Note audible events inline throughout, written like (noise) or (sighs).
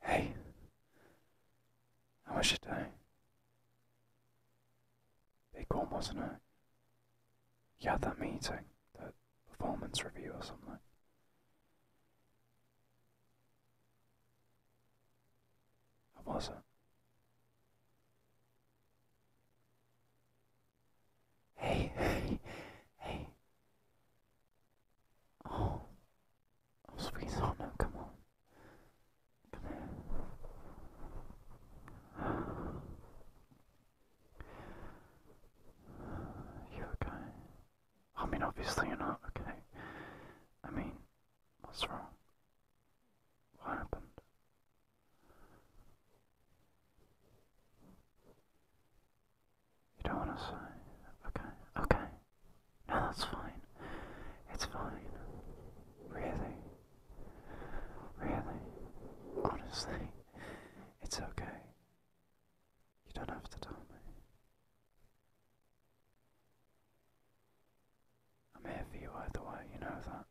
Hey, how was your day? Big one, wasn't it? Yeah, had that meeting, the performance review or something. How was it? Hey, (laughs) hey, hey. Oh. Oh, sweet oh come on. Come here. You okay? I mean, obviously you're not okay. I mean, what's wrong? What happened? You don't want to say? Okay, okay. No, that's fine. It's fine. Really. Really. Honestly, it's okay. You don't have to tell me. I'm here for you either way, you know that.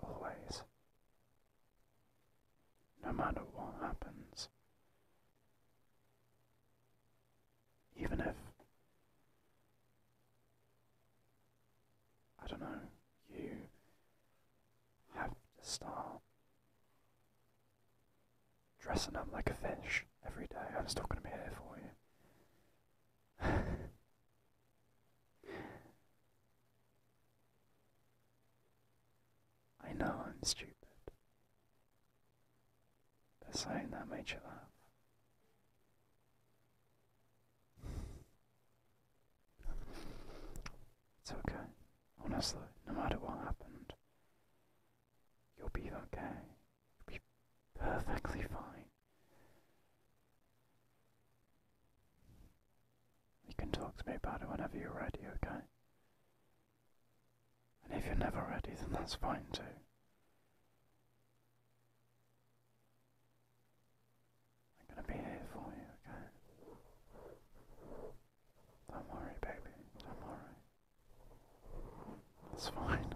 Always. No matter what happens. Even if, I don't know, you have to start dressing up like a fish every day, I'm still going to be here for you. (laughs) I know I'm stupid. But saying that made you laugh. It's okay. Honestly, no matter what happened, you'll be okay. You'll be perfectly fine. You can talk to me about it whenever you're ready, okay? And if you're never ready, then that's fine too. I'm gonna be here for you, okay? Don't worry, baby. Don't worry. It's fine.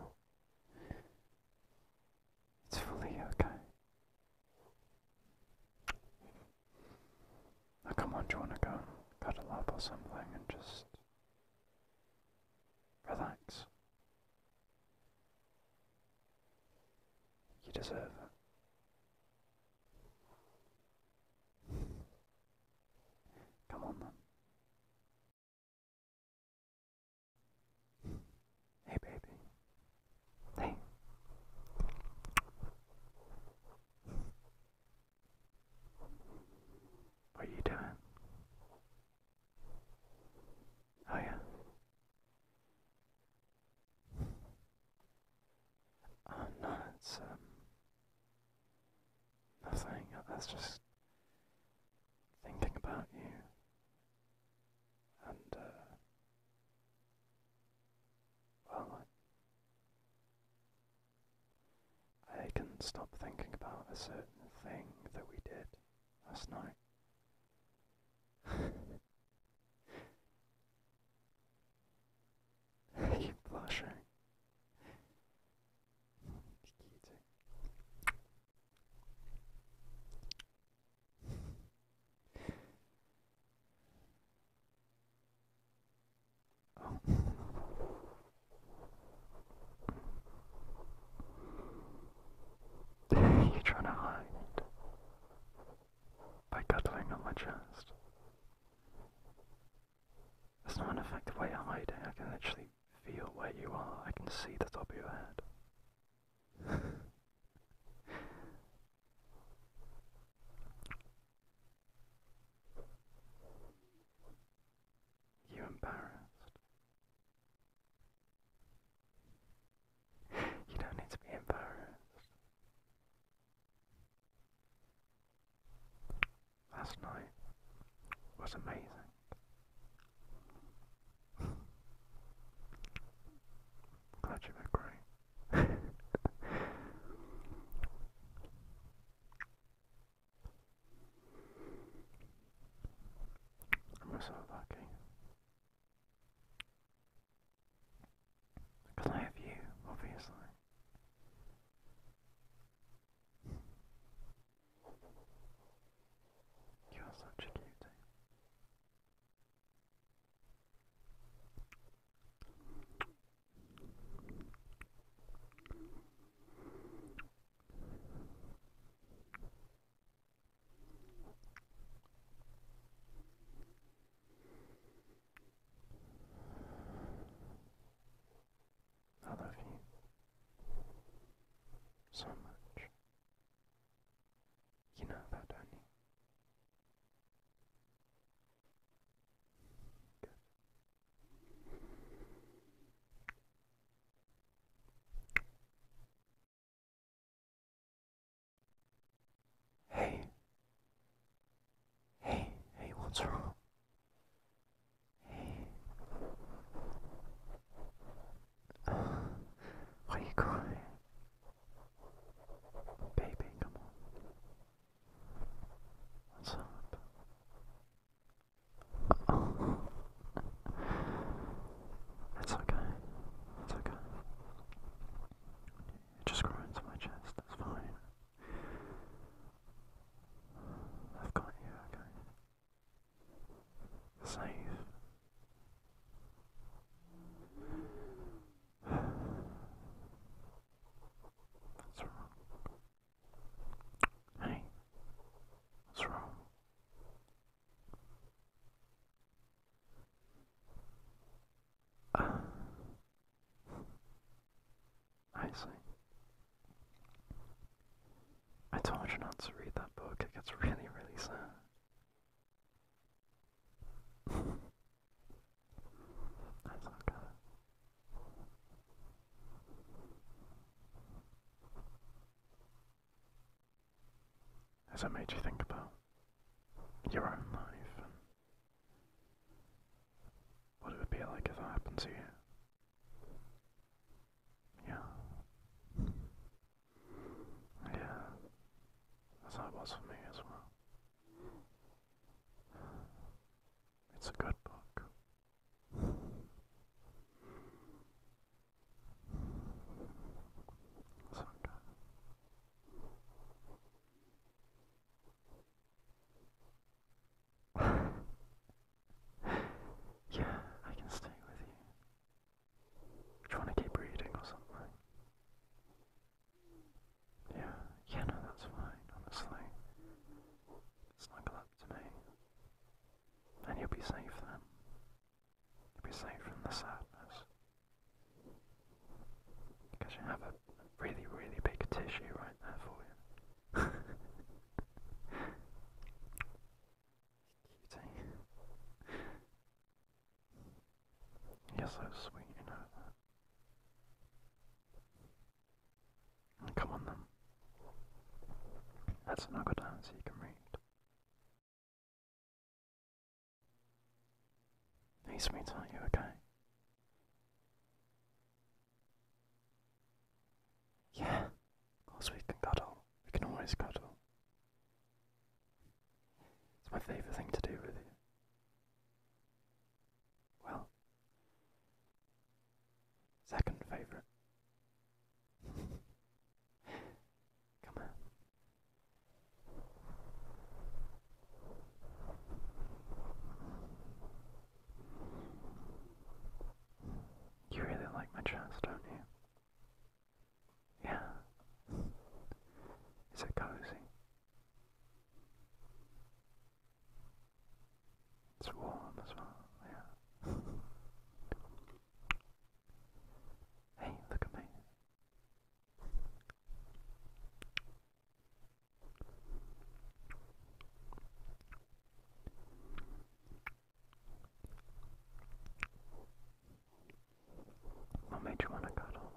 It's fully okay come on, you want to go cuddle up or something and just relax? You deserve it. Come on then. Hey, baby. Hey. What are you doing? Oh, yeah. Oh, no, it's, um, nothing. That's just thinking about you. And, uh, well, I, I can stop thinking about a certain thing that we did last night. I (laughs) keep blushing. You're trying to hide by cuddling on my chest. That's not an effective way of hiding. I can actually feel where you are. I can see the top of your head. You embarrassed. You don't need to be embarrassed. Last night was amazing. (laughs) Glad you agree. I'm so lucky. Because I have you, obviously. You're such a cutie. I love you so much. You know that, do you? Hey, hey, hey, what's wrong? Hey, are you crying? Baby, come on. What's up? (laughs) it's okay. It's okay. It just grew into my chest. That's fine. I've got you, okay? Safe. What's wrong? Hey, what's wrong? I see. I told you not to read that book. It gets really, really sad. That's Has that made you think about your own life what it would be like if that happened to you? Yeah. Yeah. That's how it was for me as well. It's a good book. It's okay. (laughs) yeah, I can stay with you. Do you want to keep reading or something? Yeah, yeah, no, that's fine, honestly. Snuggle up to me. And you'll be safe then. You'll be safe from the sadness. Because you have a really, really big tissue right there for you. (laughs) Cutie. Eh? You're so sweet, you know that. Come on then. That's another down so you can read. Hey sweet, are you okay? Yeah, of course we can cuddle. We can always cuddle. It's my favourite thing to do, really. Well, second favourite. (laughs) Come on. You really like my chest, don't you? Yeah. Is it cozy? It's warm as well, yeah. hey, look at me. What made you want to cuddle?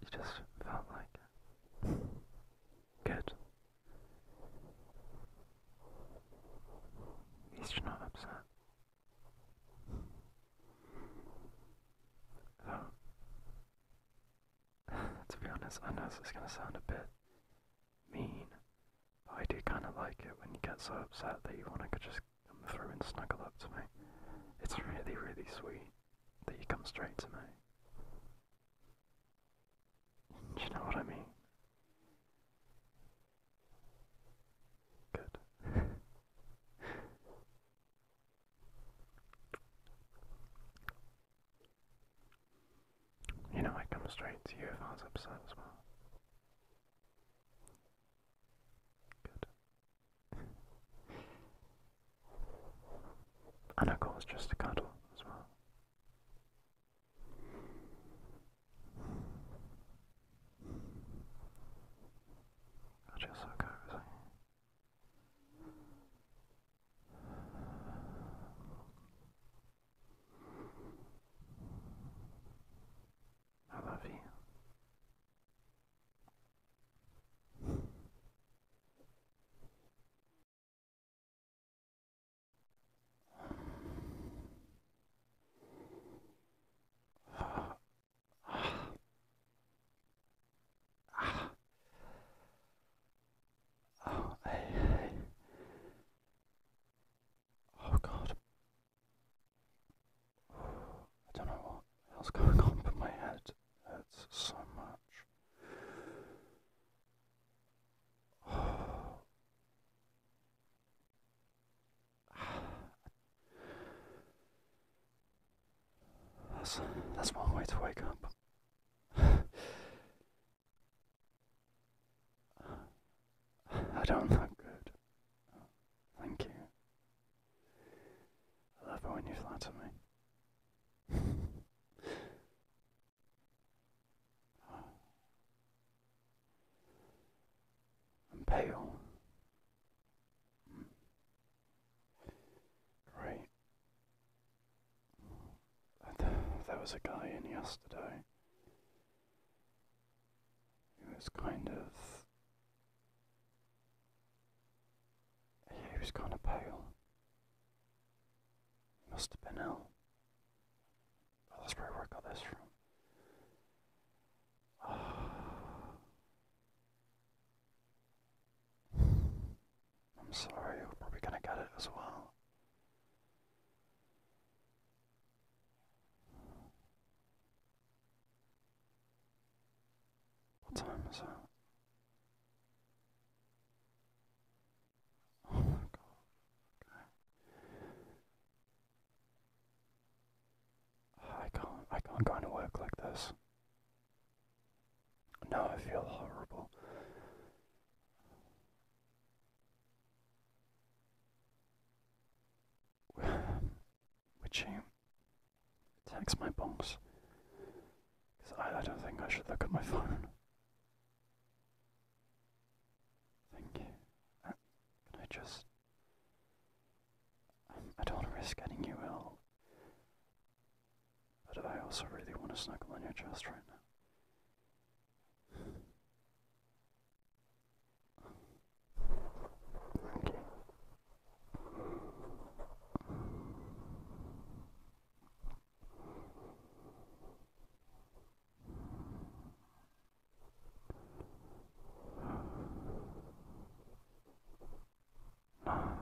You just felt like Good. At not upset. So, (sighs) to be honest, I know this is going to sound a bit mean, I do kind of like it when you get so upset that you want to just come through and snuggle up to me. It's really, really sweet that you come straight to me. you know what I mean? Good. (laughs) You know I come straight to you if I was upset as well. Good. (laughs) and of course just a cuddle as well. I just so cozy. I love you. Oh, hey, hey. Oh god. (sighs) I don't know what else going on, but my head hurts so much. (sighs) That's, that's one way to wake up. (sighs) (sighs) I don't look good. Oh, thank you. I love it when you flatter me. oh. (sighs) I'm pale. Great. (sighs) there was a guy in yesterday. He was kind of. He was kind of pale. must have been ill. that's where I got this from. (sighs) I'm sorry, we're probably going to get it as well. What time is it? Oh my god. Okay. I can't I can't go into work like this. No, I feel horrible. Which you text my box? Because I, I don't think I should look at my phone. Thank you. Uh, can I just. Um, I don't risk getting you ill. But I also really want to snuggle on your chest right now. Okay. No,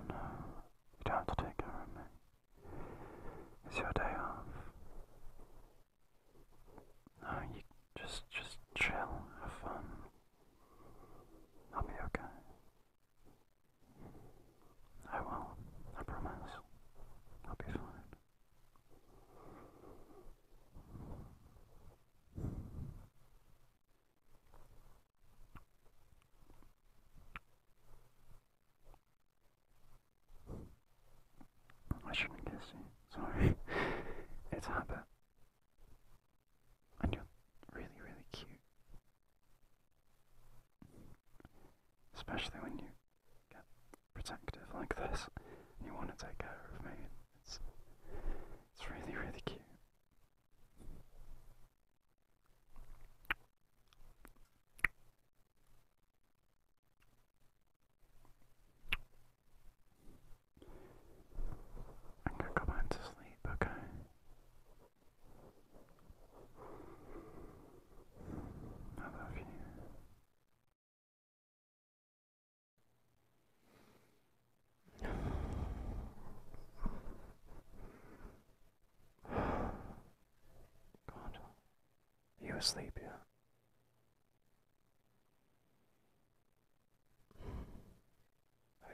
no, you don't have to take care of me. It's your day off. No, you just just chill, have fun. I'll be okay. I will. I promise. I'll be fine. I shouldn't kiss you. Sorry. (laughs) it's habit. And you're really, really cute. Especially when you get protective like this and you want to take care of me. It's, it's really, really cute. I'm gonna go back to sleep, okay? I love you. (sighs) God, you asleep, yeah?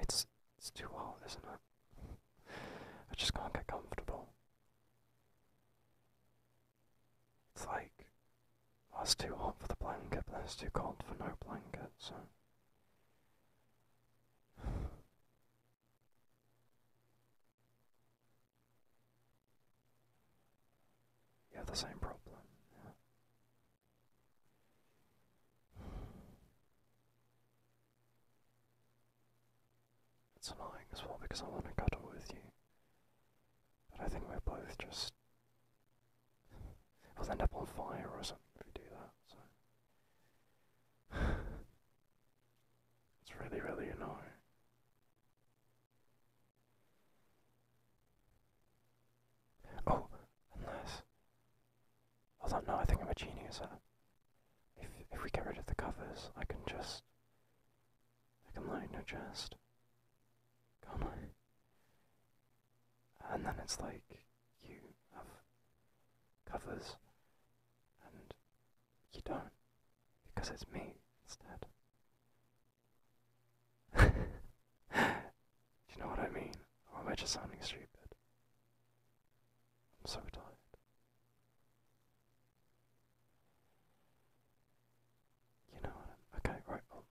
It's it's too hot, isn't it? I just can't get comfortable. It's like well, it's too hot for the blanket, but it's too cold for no blankets. You have the same problem. It's annoying as well because I want to cuddle with you. But I think we're both just. will end up on fire or something if we do that, so. (sighs) it's really, really annoying. Oh, unless. Although, no, I think I'm a genius. Uh. If, if we get rid of the covers, I can just. I can line her chest. Come And then it's like you have covers and you don't because it's me instead. Do (laughs) you know what I mean? Or oh, am I just sounding stupid? I'm so tired. You know okay, right, oh.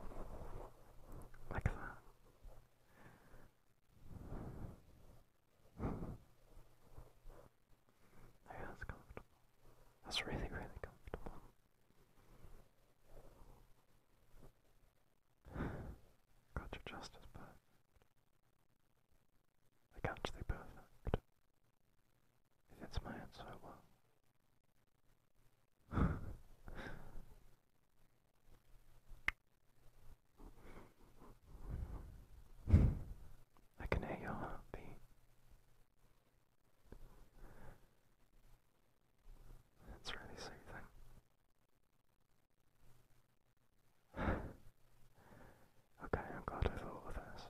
(laughs) like that that's comfortable. That's really, really comfortable. Got you just as perfect. Like actually perfect. It hits my head well. (laughs) I can hear your heartbeat. It's really soothing. (sighs) okay, I'm glad I thought of this.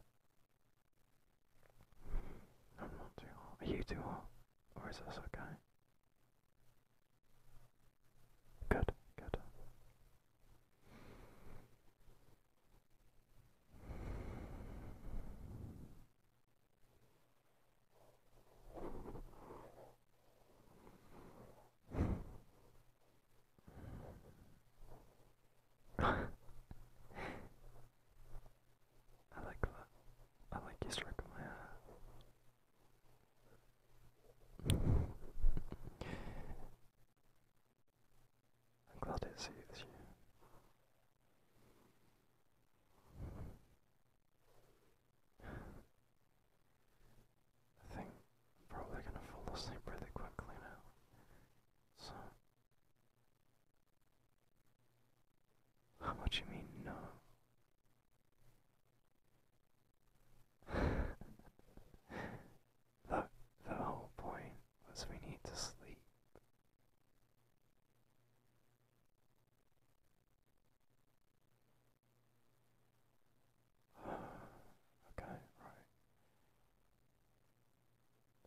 I'm not too hot. Are you too hot? Or is this okay? Good, good. (laughs) I like I like you stroking my hair. Uh, I'm glad it suits you. I think I'm probably gonna fall asleep really quickly now. So how much you mean no? the, the whole point was we need to sleep. (sighs) okay, right.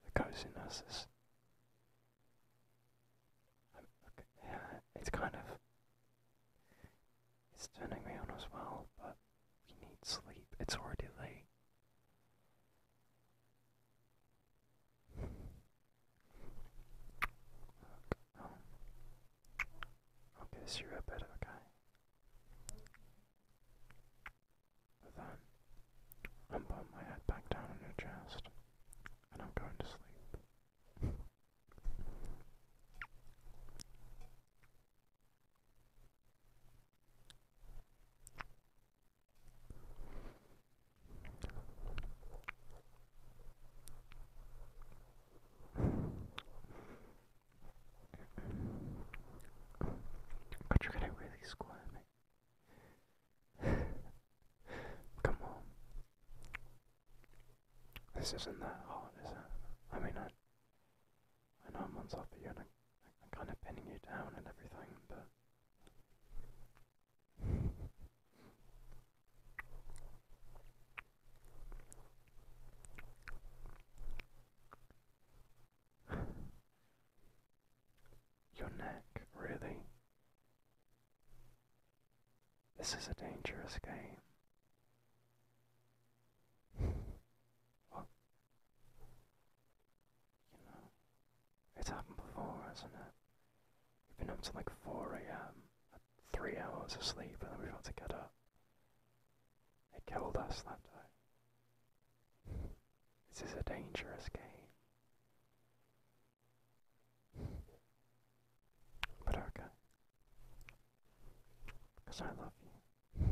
The coziness is. yeah, it's kind of it's turning me on as well, but we need sleep. It's already late. okay, so you're a bit okay. then, I'm my head back down on your chest, and I'm going to sleep. But you're really squat (sighs) Come on. This isn't that hard, is it? I mean, I I know I'm on top of you and I, am kind of pinning you down and everything, but. (sighs) Your neck, really? This is a dangerous game it's happened before, hasn't it? We've been up to like 4 a.m., three hours of sleep, and then we've had to get up. It killed us that day. This is a dangerous game. But okay. Because I love you.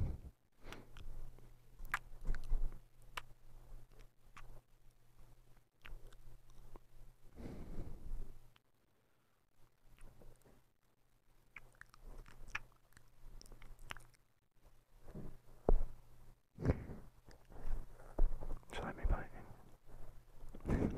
Should I be biting? (laughs)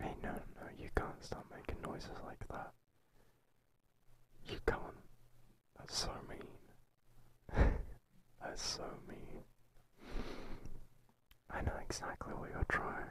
Hey, no, no, you can't stop making noises like that. You can't. That's so mean. (laughs) That's so mean. I know exactly what you're trying.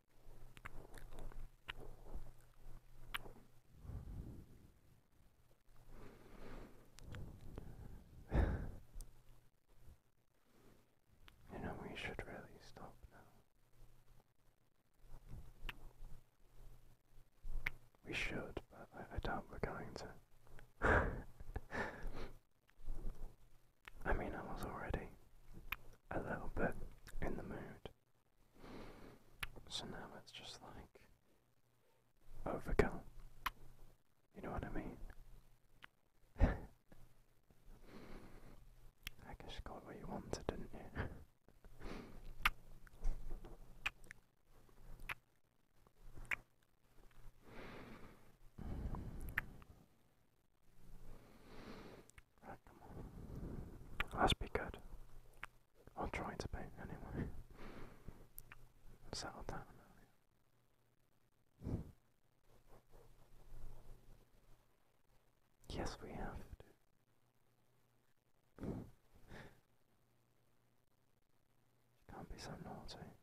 (sighs) you know, we should really stop now. We should, but I, I doubt we're going to. (laughs) I mean, I was already a little bit in the mood so now it's just like overcome. You know what I mean? (laughs) I guess got what you wanted, didn't you? Let's be good. I'll try to be, anyway. Settle down. Yes, we have to. can't be so naughty.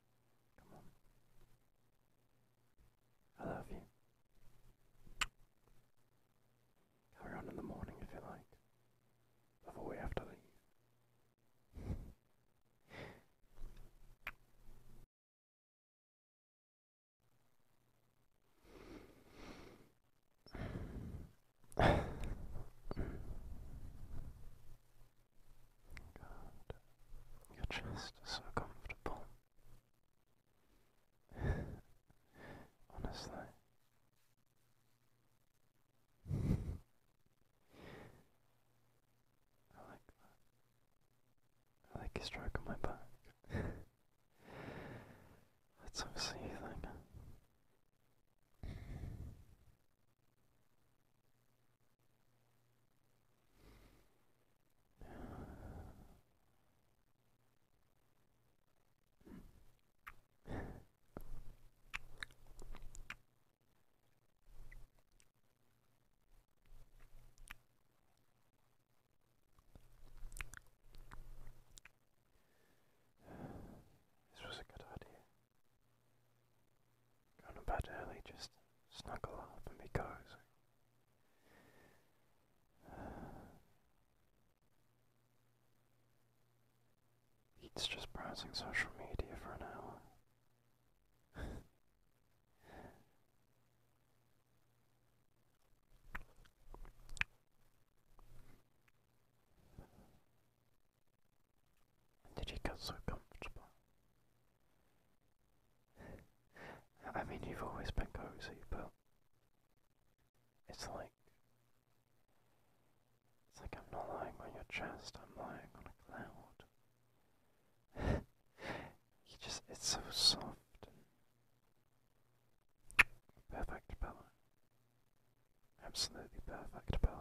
Come on. I love you. Come on in the morning if you like. Before we have to leave. God. Your chest is so comfortable. Honestly. I like that. I like a stroke on my back. That's so soothing. This was a good idea. Going to bed early, just snuggle up and be cozy. He's just browsing social media for an hour. (laughs) did you get so comfortable? I mean, you've always been cozy, but it's like it's like I'm not lying on your chest, I'm lying on a cloud. (laughs) you just it's so soft perfect pillow. Absolutely perfect pillow.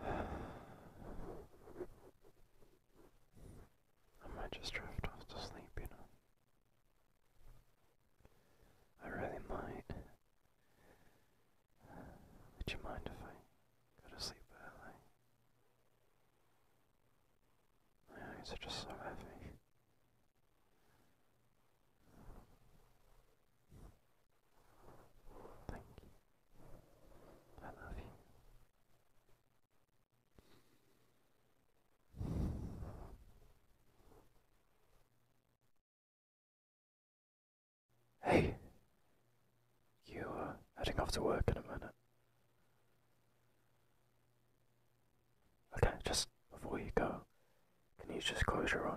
I might just drift off to sleep, you know. I really might. Would you mind if I go to sleep early? My eyes are just so heavy. Thank you. I love you. Hey, you are heading off to work in a minute. Okay, just before you go, can you just close your eyes?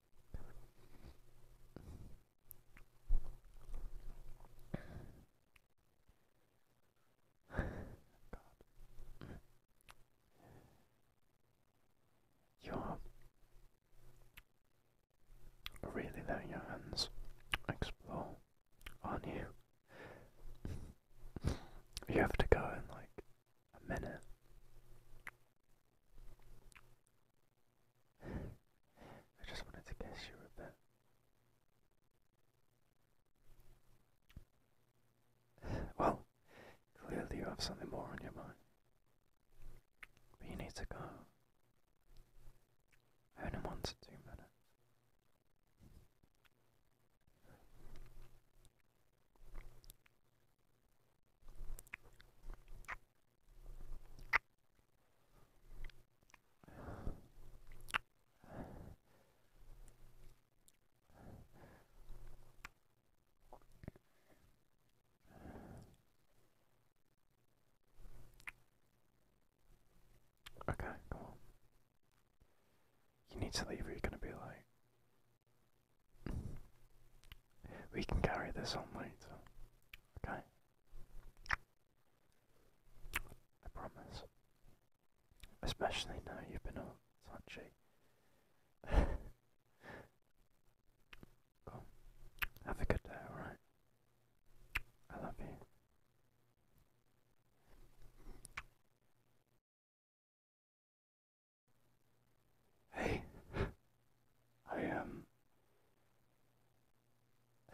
You're really letting your hands explore, are you? you have to go in like a minute. I just wanted to guess you a bit. Well, clearly you have something more on your mind. But you need to go. Only one to two minutes. Okay, come on. You need to leave or you're gonna be like we can carry this on later. Okay? I promise. Especially now you've been on such a. cool. Have a good day, alright? I love you. Hey, I am.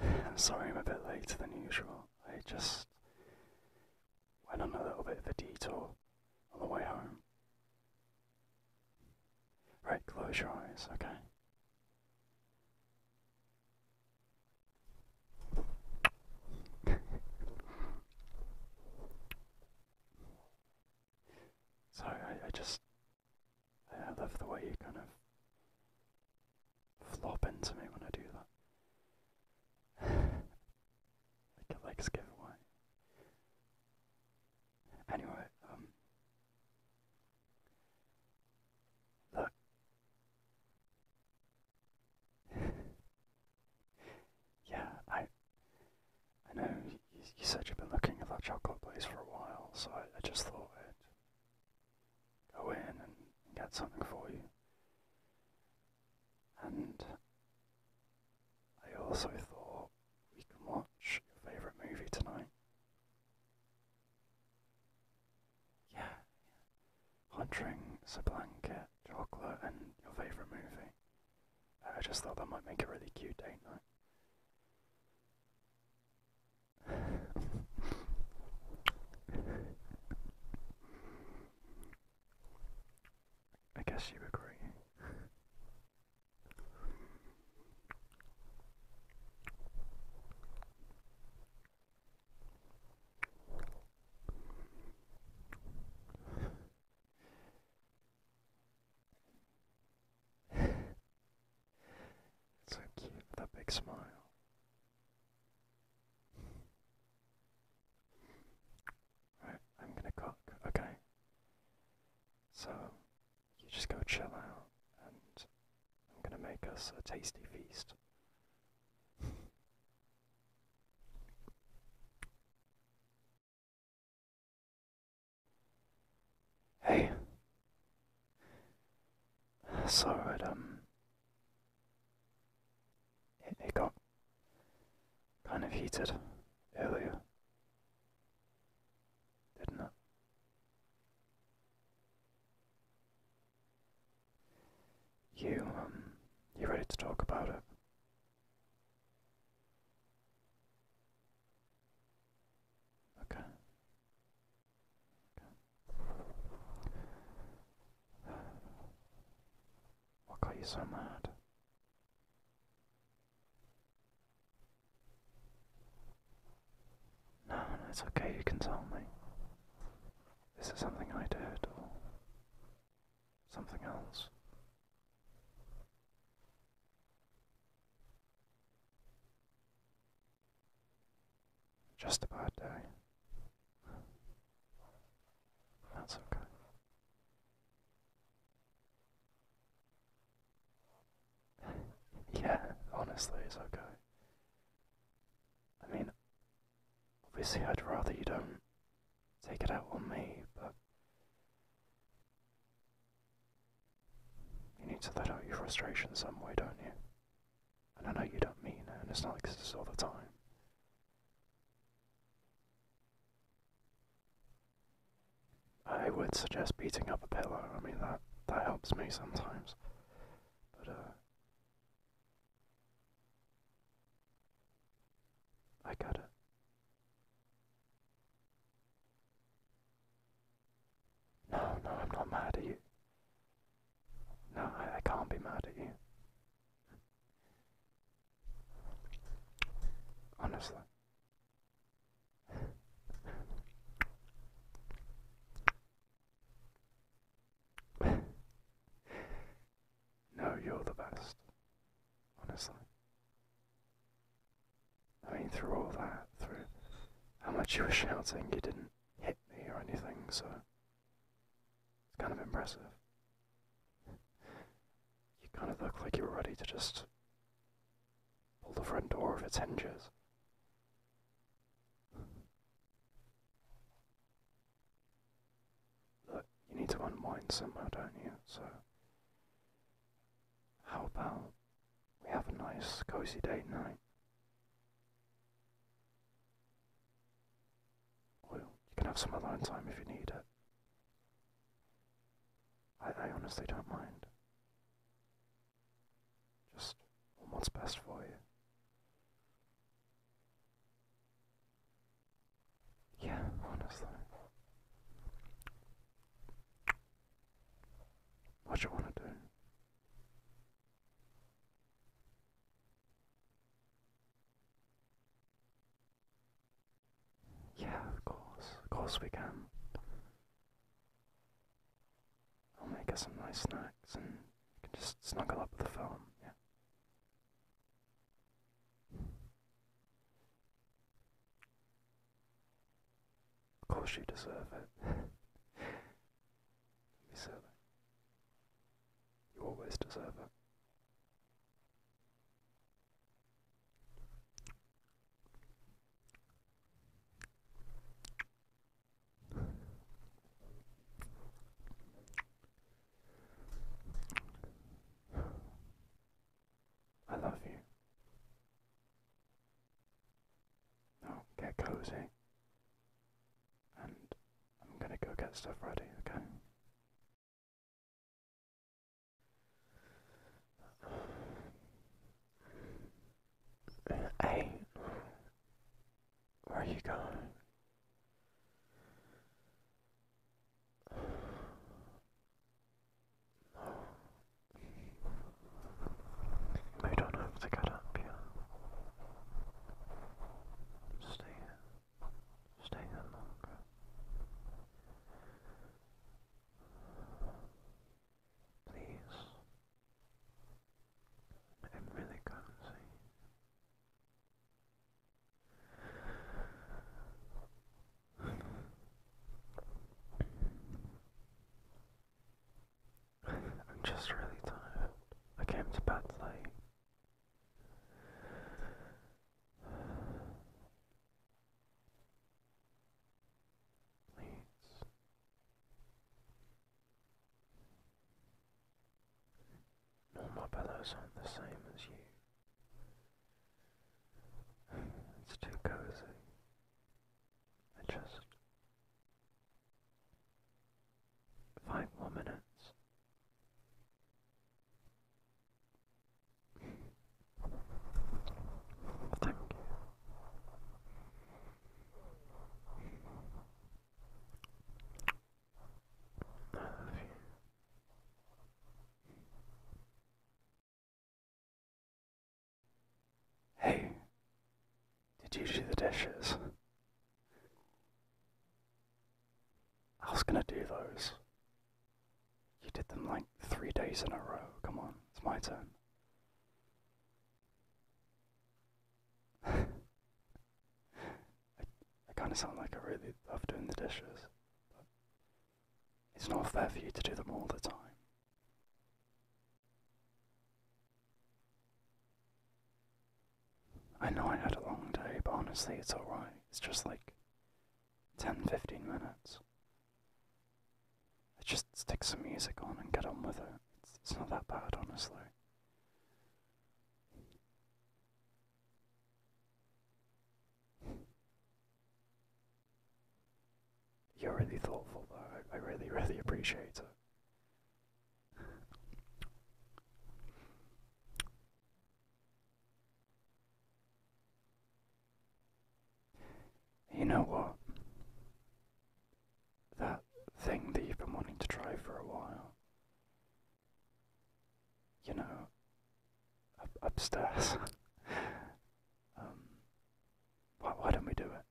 Um, I'm sorry I'm a bit later than usual. I just went on a little bit of a detour on the way home. Right, close your eyes, okay? (laughs) So I, just I love the way you kind of flop into me when I do that. (sighs) like a legs giveaway. Anyway, um look (laughs) Yeah, I I know you, said you've been looking at that chocolate place for a while, so I, just thought I'd go in and get something for you. And I also thought we can watch your favourite movie tonight. Yeah, yeah. a Blanket, Chocolate, and your favourite movie. I just thought that might make it really cute date night. I guess you agree it's (sighs) so cute, that big smile. Right, I'm gonna cook, okay? So, you just go chill out, and I'm gonna make us a tasty feast. Hey. So it um it, it got kind of heated earlier. Didn't it? You um you ready to talk about it? Okay. okay. What got you so mad? No, no, it's okay, you can tell me. This is something I did, or something else. Just a day. That's okay. (laughs) yeah, honestly, it's okay. I mean, obviously, I'd rather you don't take it out on me, but you need to let out your frustration some way, don't you? And I know you don't mean it, and it's not like this all the time. I would suggest beating up a pillow. I mean that that helps me sometimes. But uh, I got it. No, no, I'm not mad at you. No, I, I can't be mad at you. Honestly. no, you're the best. Honestly. I mean, through all that, through how much you were shouting, you didn't hit me or anything, so it's kind of impressive. You kind of look like you were ready to just pull the front door off its hinges. Look, you need to unwind somehow, don't you? So how about we have a nice cozy date night? Well, you can have some alone time if you need it. I honestly don't mind. Just what's best for you. Yeah, honestly. What you want to do? Yeah, of course. Of course we can. I'll make us some nice snacks and you can just snuggle up with the phone. yeah. Of course you deserve it. Don't (laughs) be You always deserve it. I love you. Now get cozy. And I'm gonna go get stuff ready, okay? Hey, where are you going? We don't have to get up here. Stay Stay longer. Please. I'm really cozy. I'm just really tired. I came to bed late. Please. All pillows aren't the same as you. It's too cozy. just five more minutes. (laughs) I love you. Hey, did you do the dishes? I was gonna do those. You did them like three days in a row. Come on, it's my turn. (laughs) I, kind of sound like I really love doing the dishes. But it's not fair for you to do them all the time. I know I had a long day, but honestly, it's alright. It's just like 10 15 minutes. I just stick some music on and get on with it. it's not that bad, honestly. You're really thoughtful, though. I really, really appreciate it. You know what? That thing that you've been wanting to try for a while. You know, up, upstairs. Um, why, don't we do it?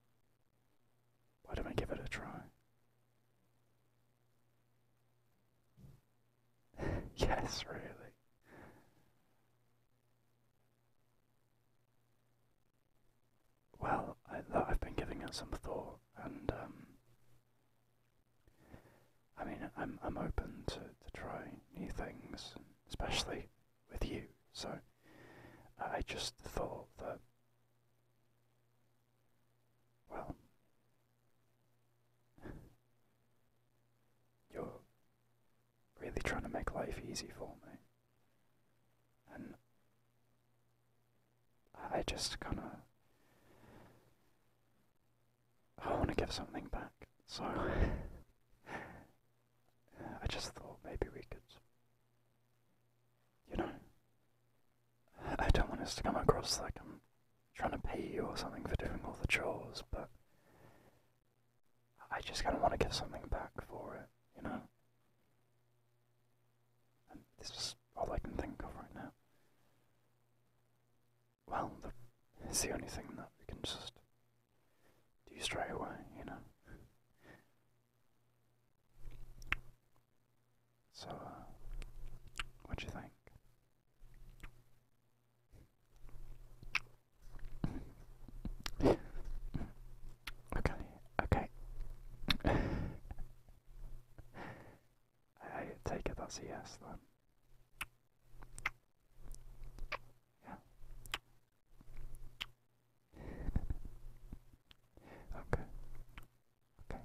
Why don't we give it a try? (laughs) yes, really. Well, I, have been giving it some thought, and um, I mean, I'm I'm open to to try new things, especially with you. So I just thought that, well, you're really trying to make life easy for me. And I just kind of. I want to give something back, so (laughs) I just thought maybe we could, you know, I don't want us to come across like I'm trying to pay you or something for doing all the chores, but I just kind of want to give something back for it, you know? And this is all I can think of right now. Well, it's the only thing that we can just do you stray away, you know? So, uh, what do you think? Okay, okay. I, take it that's yes then. Yeah. Okay. Okay.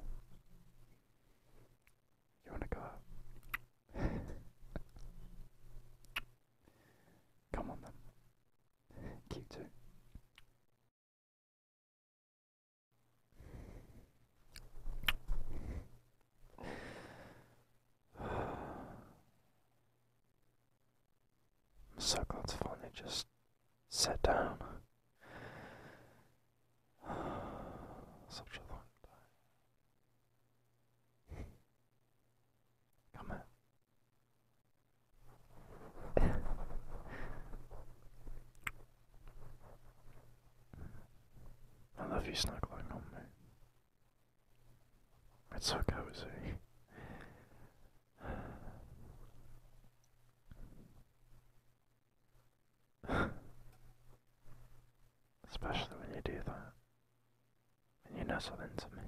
You wanna go out? Come on then. Cute too. (sighs) Cyclops finally just sat down. (sighs) Such a long time. Come on. (laughs) I love you snuggling on me. It's so cozy. Especially when you do that. And you nestle into me.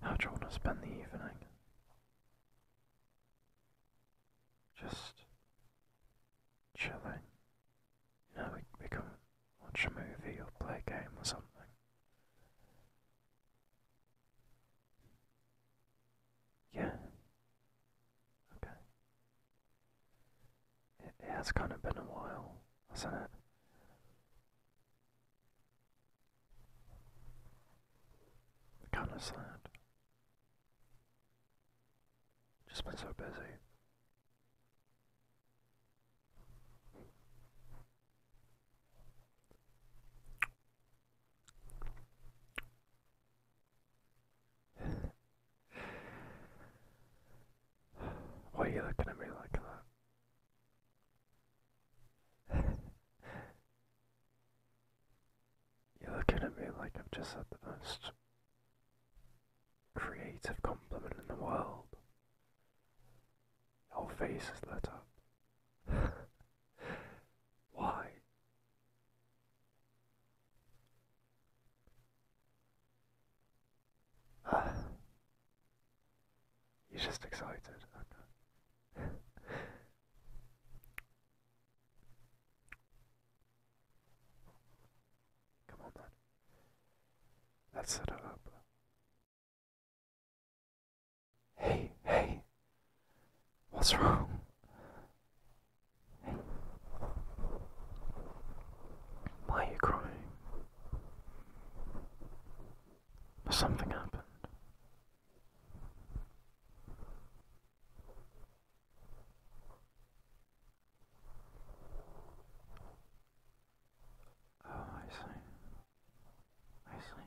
How do you want to spend the evening? just chilling. You know, we, we can watch a movie or play a game or something. Yeah. Okay. It, it has kind of been a while, hasn't it? Kind of sad. Just been so busy. (laughs) Why are you looking at me like that? (laughs) You're looking at me like I've just said the most creative compliment in the world. Your face is lit up. (laughs) Why? (sighs) You're just excited. Okay. Come on, man. let it up. Hey, hey. What's wrong? Why are you crying? Something happened. Oh, I see. I see.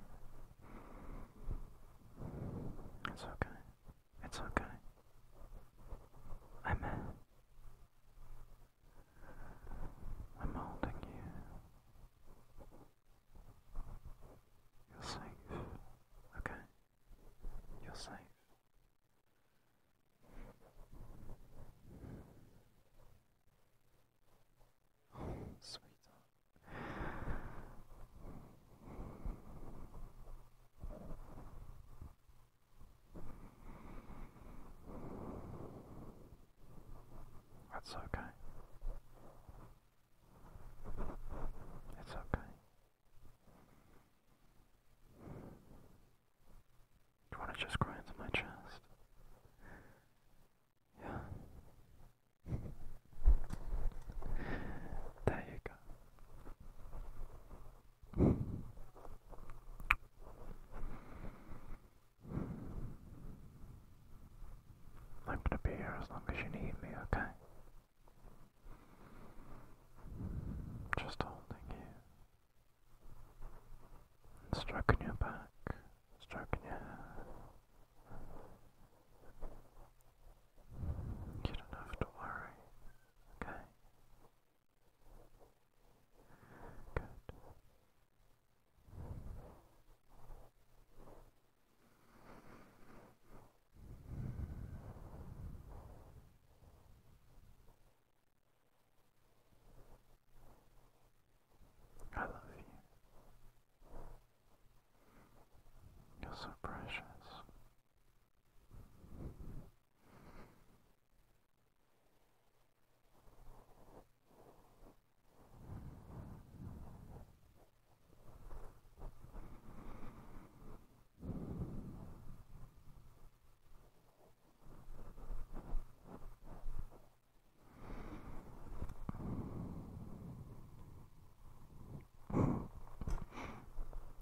It's okay. It's okay. I'm uh, I'm holding you. You're safe. Okay. You're safe. sweetheart. That's okay. It's okay. you want to just cry into my chest? Yeah. There you go. I'm gonna be here as long as you need me, okay? Just holding you. stroking your back, stroking your hair. You don't have to worry, okay? Good. I love you. You're so precious.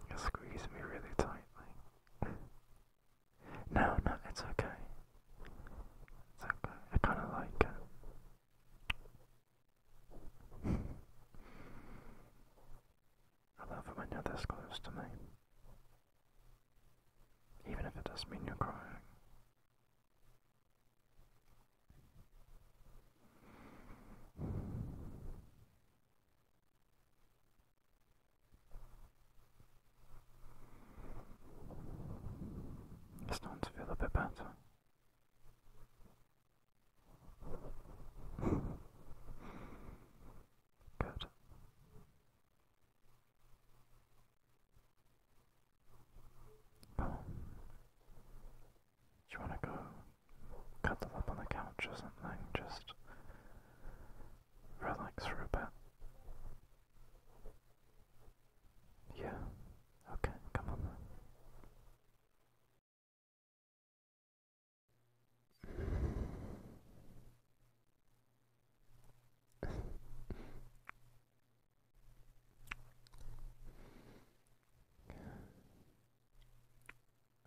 You squeeze me really tightly. (laughs) no, no, it's okay. It's okay. I kind of like it. I love it when you're this close to me. Even if it doesn't mean you're crying. starting to feel a bit better. Good. Come on. Do you want to go cuddle up on the couch or something? Just relax for a bit. Yeah. Okay, come on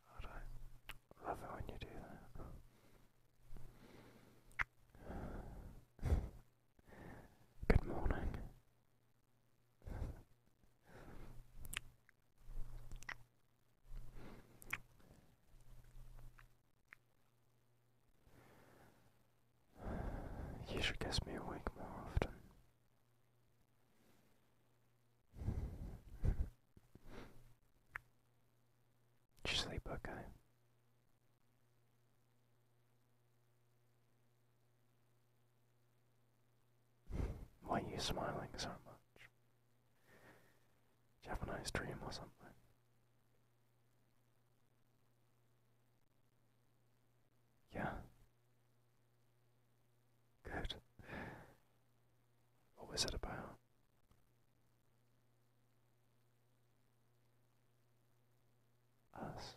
I love it when you do that. Good morning. You should guess me awake more often. Did sleep okay? Why are you smiling so much? Did you have a nice dream or something? Yeah. Good. What was it about? us?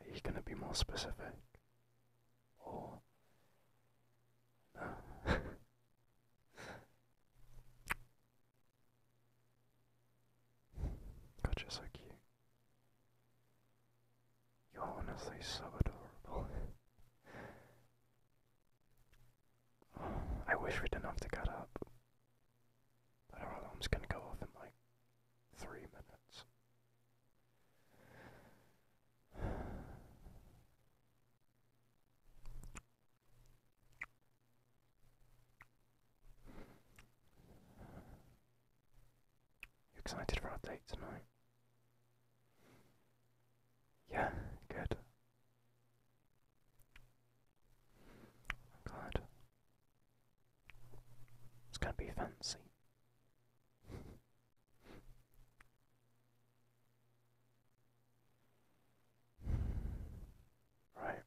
Are you going to be more specific? Or. No. God, (laughs) you're so cute. You're honestly so adorable. (laughs) I wish we didn't have to cut up. But our alarm's gonna go off in like three minutes. You excited for our date tonight? Yeah, good. i it's going to be fancy. right.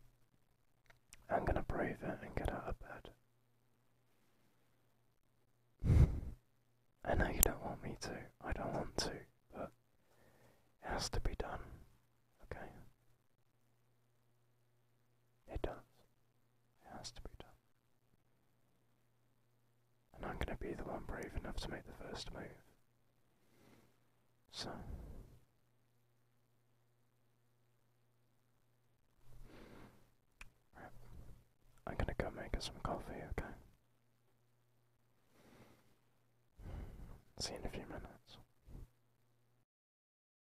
I'm going to brave it and get out of bed. I know you don't want me to. I don't want to, but it has to be done. Okay? It does. It has to be done. And I'm going to be the one brave enough to make the first move. So. I'm going to go make us some coffee, okay? See you in a few minutes.